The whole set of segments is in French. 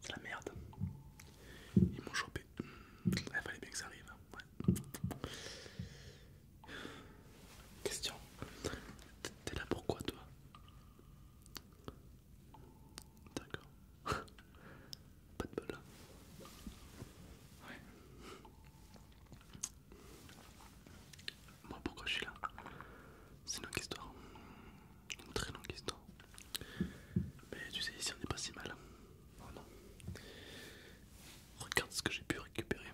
C'est la merde. Ils m'ont chopé. Il fallait bien que ça arrive. Hein. Question. T'es là pourquoi toi D'accord. Pas de bol. Hein. Ouais. Moi pourquoi je suis là c'est une longue histoire, une très longue histoire. Mais tu sais, ici on est pas si mal. Oh non. Regarde ce que j'ai pu récupérer.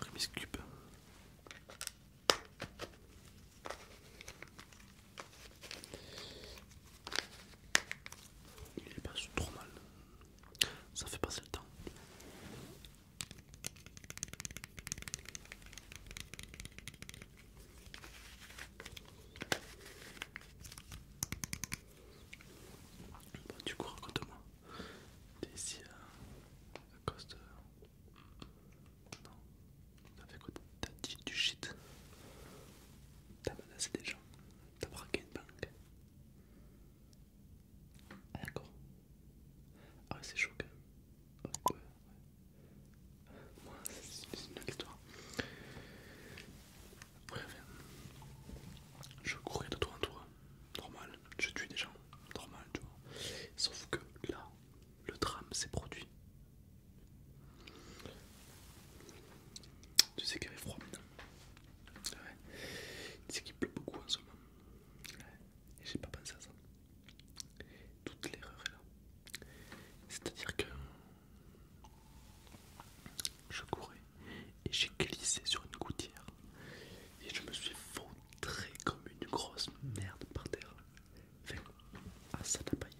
remis cube. Il est pas trop mal. Ça fait passer le temps. Bah, du coup, raconte-moi. T'es ici à, cause Non, t'as fait quoi T'as dit du shit T'as menacé des gens, t'as braqué une banque. Ah d'accord. Ah ouais c'est choquant. Ouais, Moi c'est une longue histoire. Bref, je courais de toi en toi, normal, je tue des gens, normal tu vois. Sauf que là, le drame s'est produit tu sais qu'il avait froid maintenant. Tu sais qu'il pleut beaucoup en ce moment. Et j'ai pas pensé à ça. Toute l'erreur est là. C'est-à-dire que je courais et j'ai glissé sur une gouttière et je me suis fautré comme une grosse merde par terre. Enfin, à ah, ça n'a paille.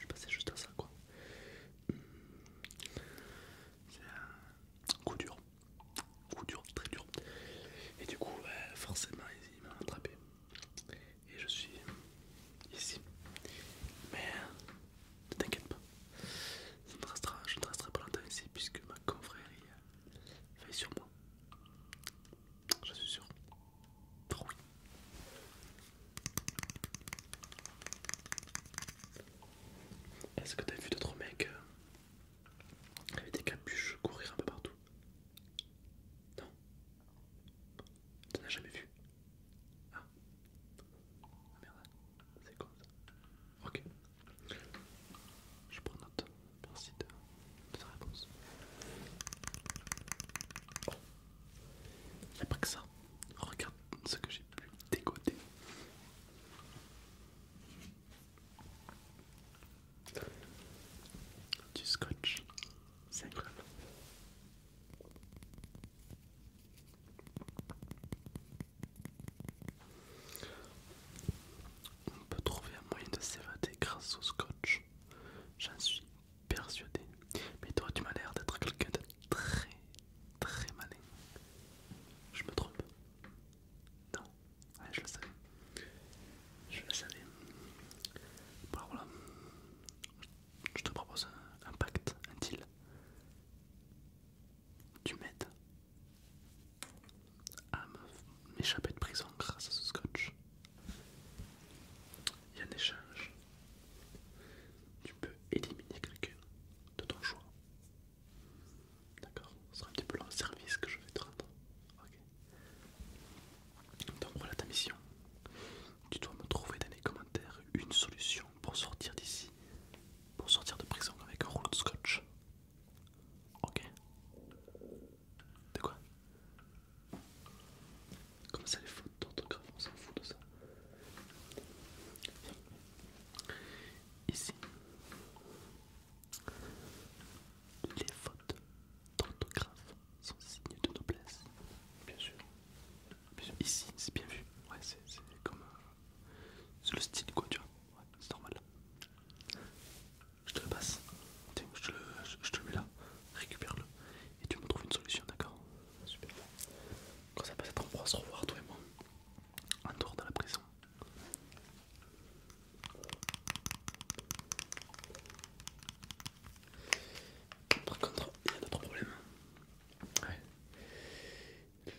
Je passais juste à ça quoi. Hmm. C'est un coup dur. Coup dur, très dur. Et du coup, bah, forcément, il m'a attrapé. Et je suis ici. Mais ne t'inquiète pas. Je resterai, je ne resterai pas longtemps ici puisque ma confrérie veille sur moi. Je suis sûr. Est-ce que t'as vu d'autres mecs euh, avec des capuches courir un peu partout Non T'en as jamais vu ah. ah merde, c'est con ça. Ok. Je prends note. Merci de, ta réponse. Oh pas que ça. Regarde ce que j'ai pu dégoter. Du scotch. C'est incroyable. On peut trouver un moyen de s'évader grâce au scotch. J'en suis persuadé. Mais toi, tu m'as l'air d'être quelqu'un de très très malin. Je me trompe Non, je le savais. Je le savais. Bon, voilà. Je te propose un pacte, un deal. Tu m'aides à m'échapper de prison grâce à ce scotch a un échange, tu peux éliminer quelqu'un de ton choix. D'accord Ce sera un petit peu un service que je vais te rendre. Ok. Donc voilà ta mission. Tu dois me trouver dans les commentaires une solution pour sortir d'ici. Pour sortir de prison avec un rouleau de scotch. Ok De quoi comme ça, les fautes d'orthographe, on s'en fout de ça. Ici, les fautes d'orthographe sont signes de noblesse, bien sûr. Ici, c'est bien vu. Ouais, c'est comme euh, c'est le style quoi, tu vois. Ouais, c'est normal. Je te le passe. Tiens, je te le mets là. Récupère-le et tu me trouves une solution, d'accord Super. Quand ça passe être, on pourra se revoir, toi et moi, en dehors de la prison. Par contre, il y a d'autres problèmes. Ouais.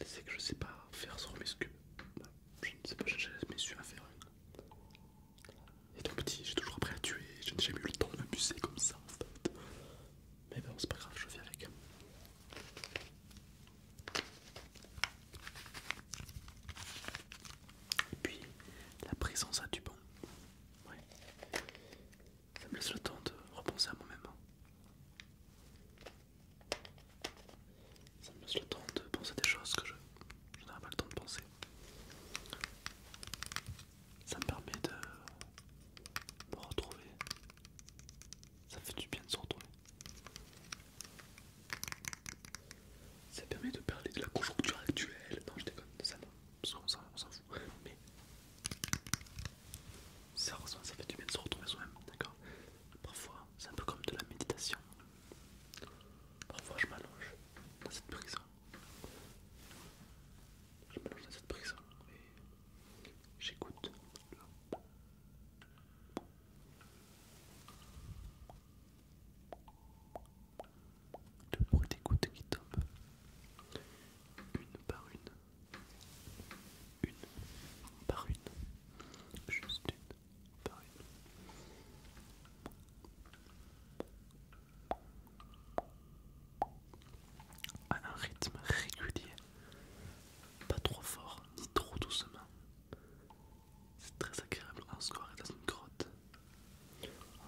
C'est que je sais pas faire sur mes scubes. Bah, je ne sais pas, j'ai jamais su à faire. Et tout petit, j'ai toujours appris à tuer, je n'ai jamais eu le temps de m'abuser comme ça en fait. Mais bon, c'est pas grave, je vais avec. Et puis, la présence a du bon. Ça me laisse le temps de repenser à moi-même. Hein. Ça me laisse le temps de penser des choses que je, je n'aurais pas le temps de penser. Ça me permet de me retrouver. Ça fait du bien de se retrouver. Ça permet de parler de la conjoncture actuelle. Non, je déconne, ça non. Parce s'en fout. Mais. ça fait du bien de se retrouver soi-même, d'accord Parfois, c'est un peu comme de la méditation. Parfois, je m'allonge dans cette prison je lance dans cette prise et j'écoute. Le bruit des qui tombent une par une, une par une, juste une par une à un rythme régulier, pas trop fort ni trop doucement. C'est très agréable, on se croirait dans une grotte,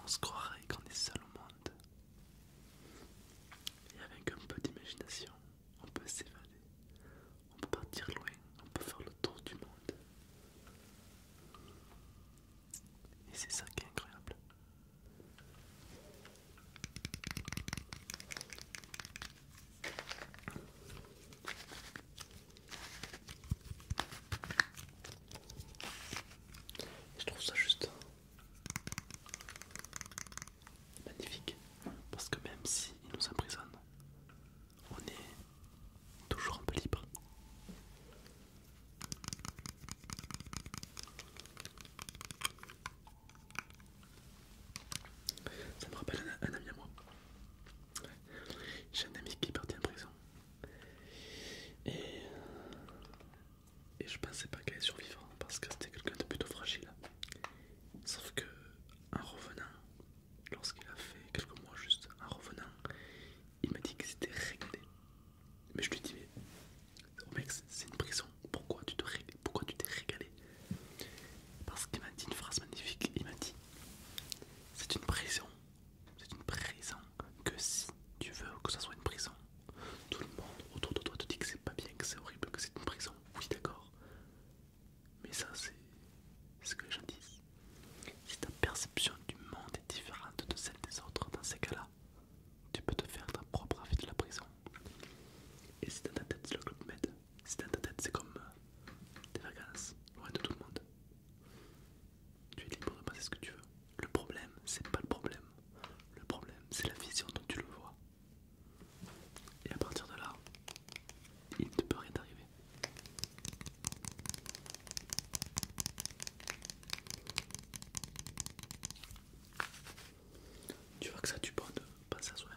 on se croirait qu'on est seul au monde. Et avec un peu d'imagination, on peut s'évader, on peut partir loin, on peut faire le tour du monde. Et c'est ça qui est incroyable. je trouve ça juste magnifique parce que même s'il nous emprisonne, on est toujours un peu libre. Ça me rappelle un, ami à moi. J'ai un ami qui est parti en prison. Et, je pensais pas qu'elle allait survivre hein, parce que c'était quelqu'un de plutôt fragile. Sauf que en revenant, lorsqu'il a fait quelques mois juste en revenant, il m'a dit que c'était régalé, Mais je lui ai dit, mais oh mec, c'est une prison, pourquoi tu t'es régalé Parce qu'il m'a dit une phrase magnifique, il m'a dit, c'est une prison, c'est une prison que si tu veux que ça soit une prison, tout le monde autour de toi te dit que c'est pas bien, que c'est horrible, que c'est une prison, oui d'accord, mais ça c'est ce que les gens disent. Si ta perception du monde est différente de celle des autres dans ces cas-là, tu peux te faire ta propre avis de la prison. Et si dans ta tête c'est le club med, si dans ta tête c'est comme euh, des vacances, loin de tout le monde, tu es libre de penser ce que tu veux. Le problème, c'est pas le problème. Le problème, c'est la vision dont tu le vois. Et à partir de là, il ne peut rien t'arriver. Tu vois que ça tu du pas de penser à soi,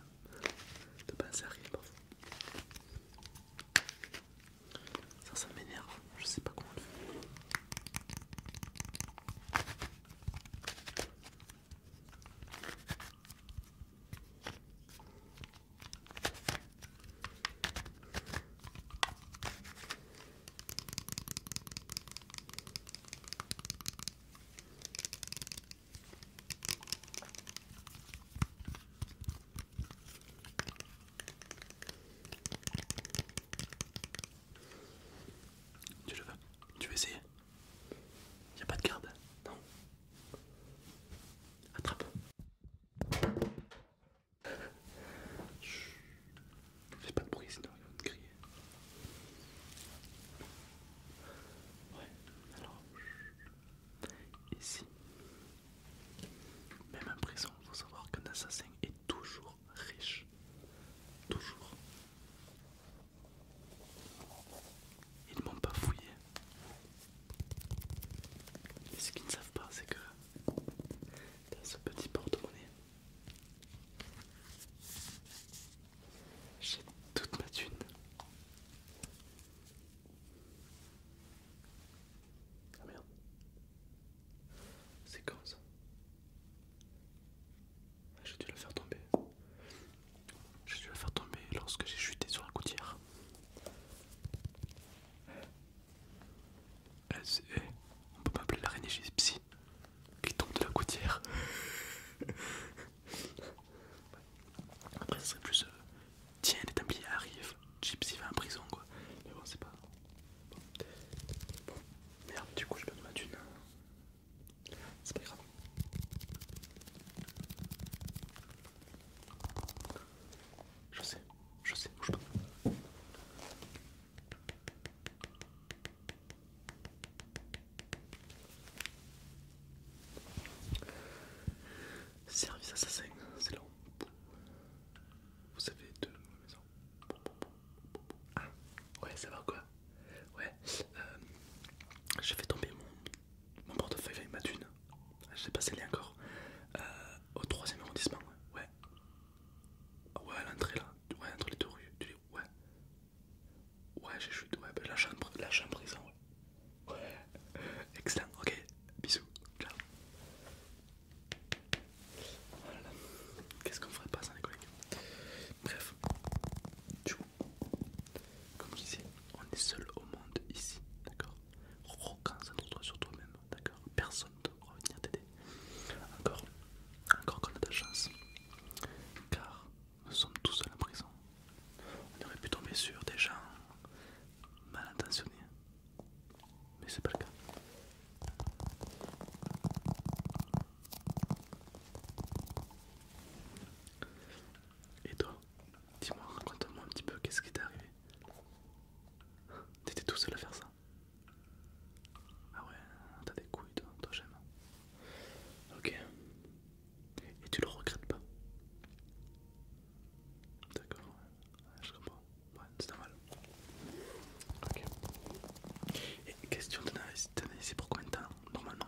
de penser à rien parfois. Ça, ça m'énerve, je sais pas comment le faire. Tu le veux Tu veux essayer Il a pas de garde Non Attrape Chut. Fais pas de bruit sinon ils vont te crier. Ouais, alors ici, même en prison, il faut savoir qu'un assassin est toujours riche. Toujours. Ils m'ont pas fouillé. Et ce qu'ils ne savent pas, c'est que dans ce petit porte-monnaie, j'ai toute ma thune. Ah merde. C'est quand ça ah, J'ai dû le faire tomber. J'ai dû le faire tomber lorsque j'ai chuté sur la gouttière on peut pas appeler l'araignée gypsy qui tombe de la côtière. Après, ce serait plus. Euh, tiens, les Templiers arrivent, Gypsy va en prison quoi. Mais bon, c'est pas. Bon. merde, du coup, je perds ma une. C'est pas grave. Je sais, je sais, bouge pas. Service assassin, c'est long. vous avez deux maison. Ah, ouais, ça va quoi? Ouais, euh, je fais tomber mon mon portefeuille avec ma Je sais pas est encore, au euh, au troisième arrondissement, ouais, ouais, à l'entrée là, entre les deux rues, tu dis ouais, ouais, j'ai chute, ouais, ben, la chambre, la chambre, prison, ouais, excellent, ok, bisous, ciao. Qu'est-ce qu'on ferait pas sans les collègues Bref, Tchou. comme je disais, on est seul au monde ici, d'accord Reconcentre-toi sur toi-même, d'accord Personne ne pourra venir t'aider. Encore, encore qu'on a de la chance, car nous sommes tous seuls en prison. On aurait pu tomber sur des gens mal intentionnés, mais c'est pas le cas. Et toi, Dis-moi, raconte-moi un petit peu qu'est-ce qui t'est arrivé. T'étais tout seul à faire ça Ah ouais, t'as des couilles toi, toi j'aime. Ok. Et tu le regrettes pas D'accord, ouais. je comprends. Ouais, c'est normal. Ok. Et question de t'es ici pour combien de temps Normalement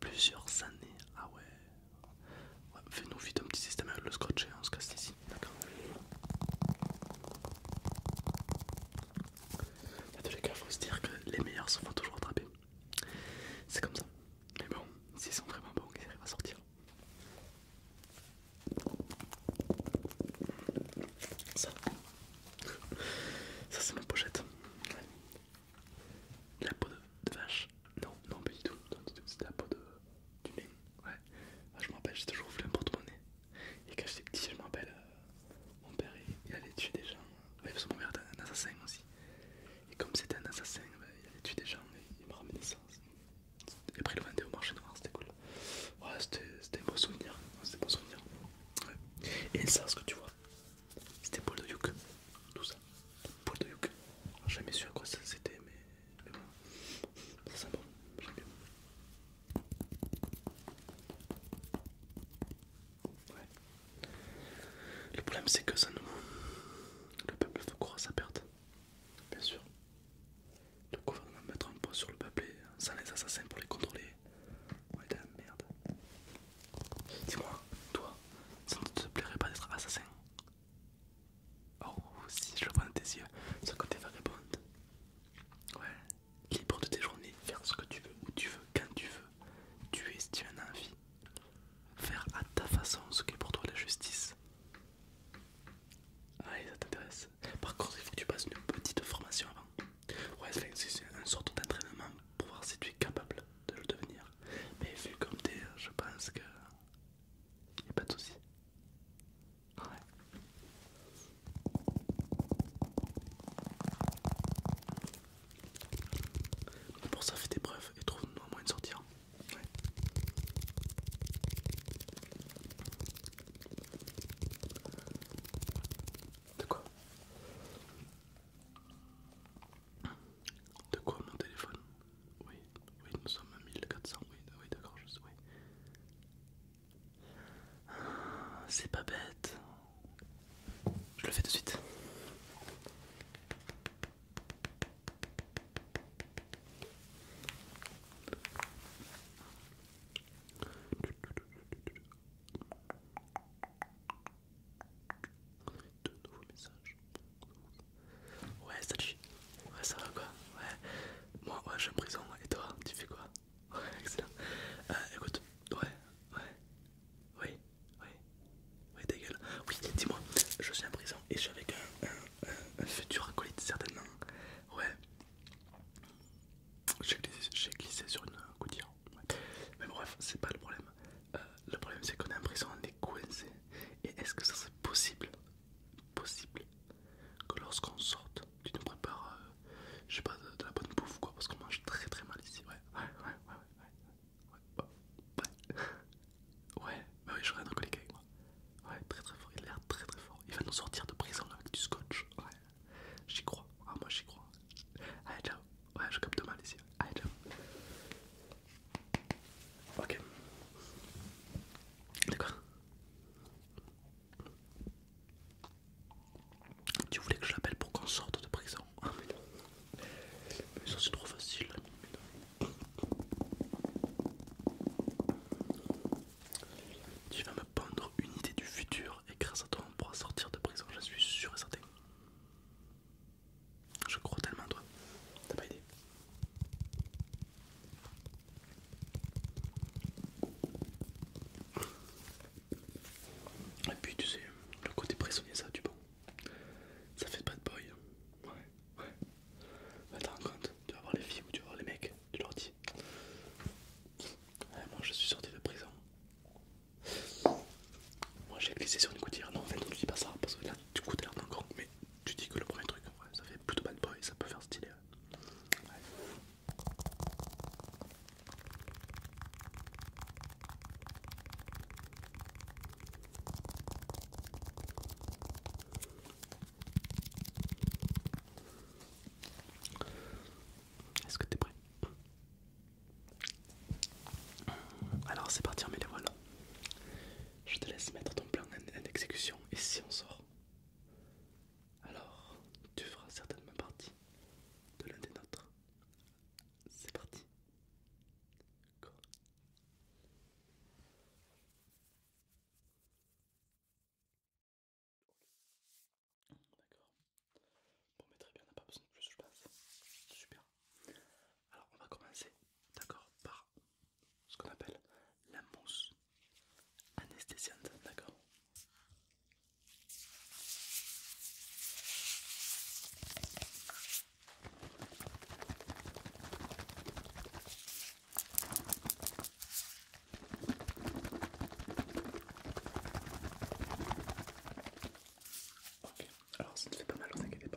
Plusieurs années. Ah ouais, Fais-nous vite un petit système le scotch et on se casse ici, d'accord les faut se dire que les meilleurs se font toujours attraper. C'est comme ça. Mais bon, s'ils sont vraiment bons, ils va sortir. Ça, ça c'est ma pochette. La peau de, vache Non, non, pas du tout. C'était la peau de, du lin. Ouais. Ah, je me rappelle, j'ai toujours voulu un porte-monnaie. Et quand j'étais petit, je me rappelle, euh, mon père il, allait tuer des gens. Il parce mon père était un assassin aussi. Et comme c'était un assassin, bah, il allait tuer des gens et il me ramenait ça. Et après, il le vendait au marché noir, c'était cool. Ouais, c'était un beau souvenir. C'était un beau souvenir. Et ça, ce que tu vois, c'était poil de yuc, tout ça. Poil de yuc. Ah, jamais su à quoi ça c'était, mais, bon, ça c'est bon, j'aime bien. Le problème c'est que ça nous... Le peuple veut croire sa perte, bien sûr. Le gouvernement mettre un poids sur le peuple et sans les assassins pour les contrôler. Ouais, de la merde. Dis-moi, toi, ça ne te plairait pas d'être assassin Oh, si je vois dans tes yeux, ça côté va Ouais, libre de tes journées, faire ce que tu veux, où tu veux, quand tu veux. Tu es si tu en as envie. Faire à ta façon ce que pour toi la justice. Ah, ça t'intéresse. Par contre, il faut que tu passes une petite formation avant. Ouais, c'est une sorte d'entraînement pour voir si tu es capable de le devenir. Mais vu comme t'es, je pense que y pas de Ouais. Pour ça, fais des preuves et trouve-nous un moyen de sortir. Hein. Ouais. De quoi de quoi mon téléphone Oui, oui, nous sommes à 1400, oui, oui d'accord, je suis, C'est pas bête. Je le fais tout de suite. De nouveaux messages. Ouais, salut. Ouais, ça va quoi Ouais. Moi, ouais, je suis en prison. Et toi, tu fais quoi Ouais, excellent. Euh, écoute, ouais, ouais. ouais, ouais, ouais, ta gueule. Oui, dis-moi, je suis en prison et je suis avec un, futur acolyte, certainement. Ouais. J'ai glissé, glissé sur une gouttière. Mais bref, c'est pas le problème. Euh, le problème, c'est qu'on est en prison, on est coincé. Et est-ce que ça serait possible, possible, que lorsqu'on sorte, tu nous prépares, euh, pas, de, la bonne bouffe quoi, parce qu'on mange très très mal ici. Ouais, ouais, ouais, ouais, ouais, ouais, ouais, bah ouais, oui, ouais. avec moi. Ouais, très très fort, il a l'air très très fort. Il va nous sortir de prison avec du scotch. Ouais, j'y crois. Ah, moi j'y crois. Allez, ciao. Ouais, je capte mal ici. Allez, Ok. D'accord. Tu voulais que je l'appelle pour qu'on sorte de prison ah, mais non. Mais ça, c'est trop facile. Tu vas me prendre une idée du futur et grâce à toi on pourra sortir de prison, je suis sûr et certain. Je crois tellement toi. T'as pas idée. Et puis tu sais, le côté prisonnier ça du bon. Ça fait pas de boy. Ouais, ouais. Bah t'en compte, tu vas voir les filles ou tu vas voir les mecs, tu leur dis. Eh, moi je suis sorti de prison. Moi j'ai glissé sur une gouttière, non en fait tu dis pas ça parce que là du coup t'as l'air d'un mais tu dis que le premier truc ça fait plutôt bad boy, ça peut faire stylé. Ouais. Est-ce que t'es prêt alors c'est parti, mais les voilà. Je te laisse mettre ton plan en, exécution et si on sort, alors tu feras certainement partie de l'un des nôtres. C'est parti. D'accord. Bon, mais très bien, on n'a pas besoin de plus, je pense. Super. Alors, on va commencer, d'accord, par ce qu'on appelle la mousse anesthésiante, d'accord. Ok, alors ça ne fait pas mal, ne pas.